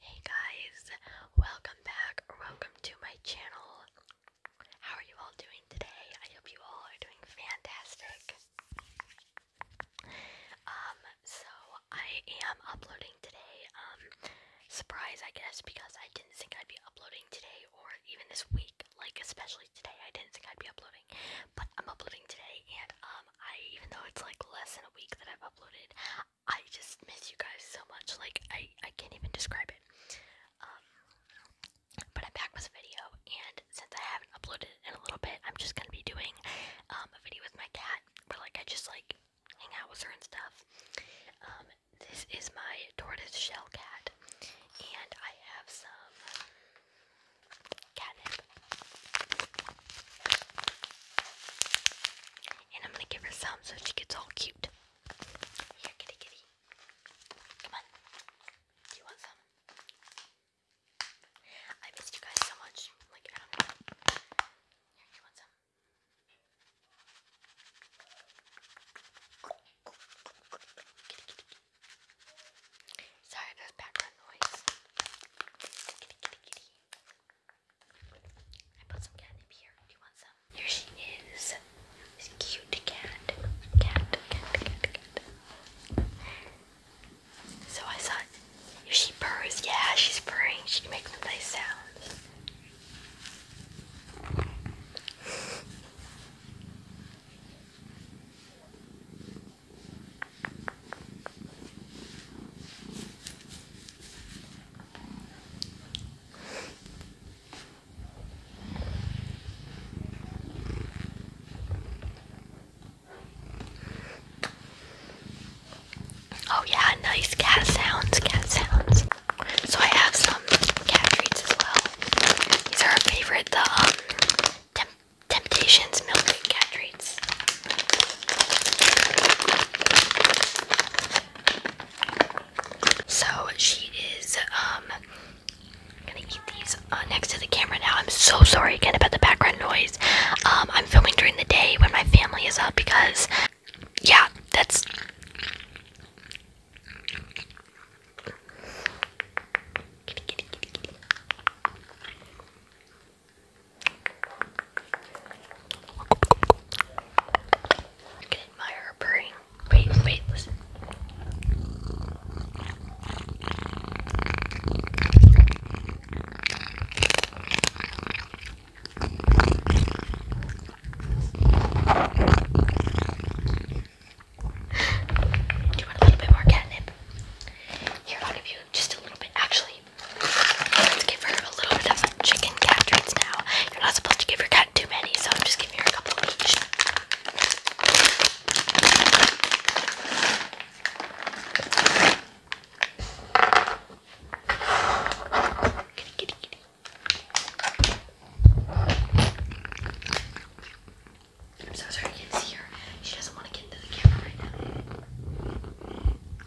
Hey guys, welcome back welcome to my channel. How are you all doing today? I hope you all are doing fantastic. Um, so I am uploading today. Um, surprise, I guess, because I didn't think I'd be uploading today or even this week, like especially today, I didn't think I'd be uploading, but I'm uploading today and um, I even though it's like less than a week that I've uploaded, I just miss you guys so much. Like I I can't even describe it. Um, but I'm back with a video, and since I haven't uploaded in a little bit, I'm just gonna be doing um, a video with my cat, where like I just like hang out with her and stuff. this is my tortoise shell cat, and I have some. And I'm gonna give her some so she gets all cute. Here, kitty kitty. Come on. Do you want some? I missed you guys so much. Like, Here, you want some? Sorry, there's background noise here. Here she is. This cute cat. Cat, cat, cat, cat. So I thought if she purrs, yeah, she's purring. She can make some nice sounds. Oh yeah, nice cat sounds, cat sounds. So I have some cat treats as well. These are our favorite, though. Um, Temptations milkshake cat treats. So she is um gonna eat these uh, next to the camera now. I'm so sorry again about the background noise. Um, I'm filming during the day when my family is up because yeah, that's. I can admire Wait, wait, listen. Do a little bit more catnip? Here, I'll give you just a little bit. Actually, Let's give her a little bit of chicken cat treats now. You're not supposed to give your cat too many, so I'm just giving her a couple of each. Kitty, kitty, kitty. I'm so sorry you can see her. She doesn't want to get into the camera right now.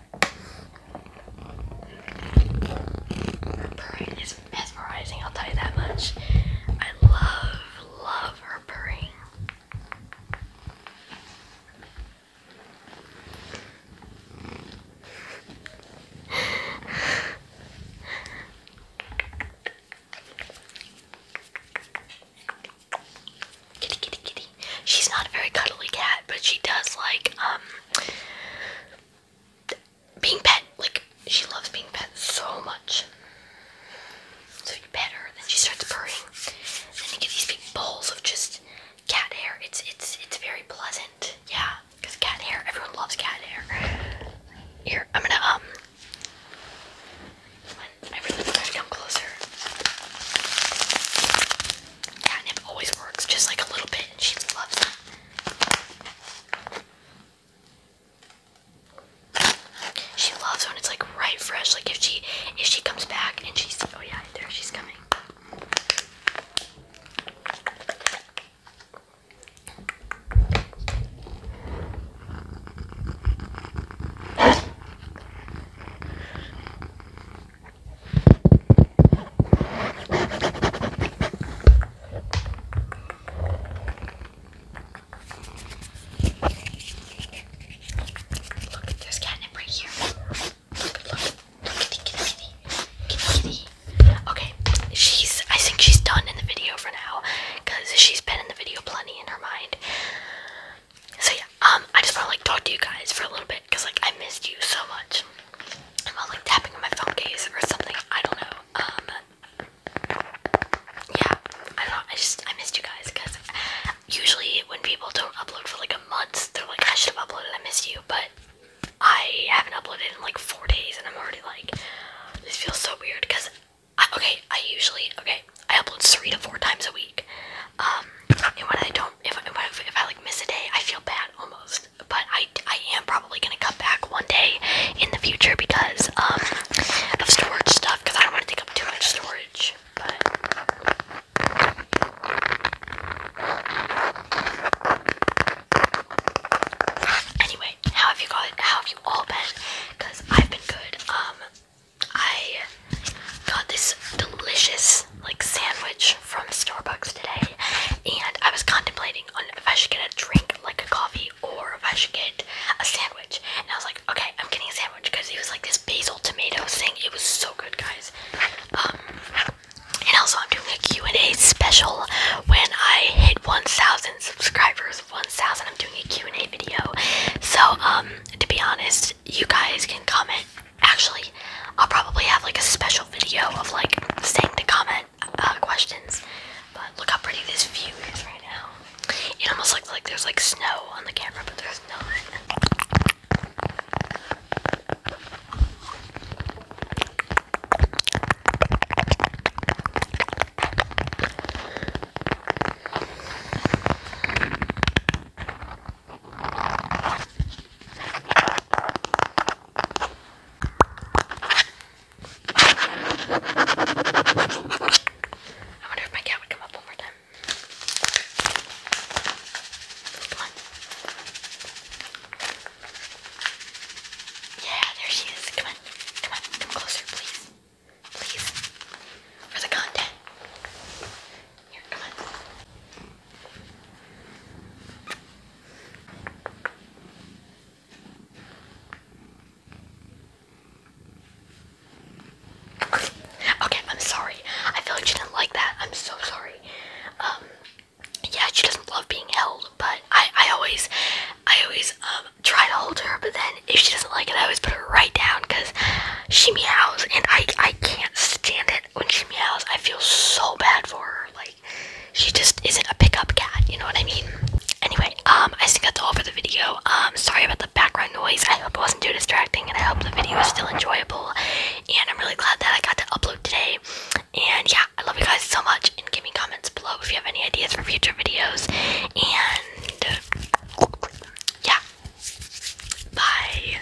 Her purring is mesmerizing, I'll tell you that much. I love, love her purring. Kitty, kitty, kitty. She's not a very cuddly cat, but she does like, um, being pet. Like she loves being pet so much. So you pet her, then she starts purring. Then you get these big balls of just cat hair. It's it's it's very pleasant. Yeah, because cat hair. Everyone loves cat hair. Here, I'm gonna um. I really to come closer. Catnip always works, just like a little bit, and she loves it. She loves when it's like right fresh. Like if she if she comes back and she's oh yeah, there she's coming. Look at this catnip right here. Look, look, look at kitty, kitty, kitty. Okay, she's, I think she's done in the video for now because she's been in the video plenty in her mind. So yeah, um, I just want to like talk to you guys for a little bit because like I missed you so much. I'm all like tapping on my phone case or something. I don't know. Um, yeah, I don't know. I just I missed you guys because usually when people don't upload for like a month, they're like I should have uploaded. I missed you, but I haven't uploaded in like four days, and I'm already like this feels so weird because I, okay, I usually okay I upload three to four times a week. Um, and I don't, if if, if I like miss a day, I feel bad almost but I, I am probably gonna come back one day in the future because um, of storage stuff, because I don't want to take up too much storage. But anyway, how have you got? How have you all been? Because I've been good. Um, I got this delicious like sandwich from Starbucks today, and I was contemplating on if I should get a drink like a coffee or if I should get a sandwich. And I was like, okay, I'm getting a sandwich because it was like this basil tomato thing. It was so good, guys. Um, and also I'm doing a Q&A special when I hit 1,000 subscribers, 1,000. I'm doing a Q&A video. So um, to be honest, you guys can comment Actually, I'll probably have like a special video of like saying the comment uh, questions. But look how pretty this view is right now. It almost looks like there's like snow on the camera, but there's not. I wonder if my cat would come up one more time. Come on. Yeah, there she is. Come on. Come on. Come closer, please. Please. For the content. Here, come on. Okay, I'm sorry. I feel like she does not like that. I'm so sorry. Um, yeah, she doesn't love being held, but I, I always, I always um try to hold her. But then if she doesn't like it, I always put her right down because she meows, and I, I can't stand it when she meows. I feel so bad for her. Like she just isn't a pickup cat, you know what I mean? Anyway, um, I think that's all for the video. Um, sorry about the background noise. I hope it wasn't too distracting, and I hope the video is still enjoyable. And I'm really glad that I got to upload today. And yeah, I love you guys so much. And give me comments below if you have any ideas for future videos. And yeah, bye.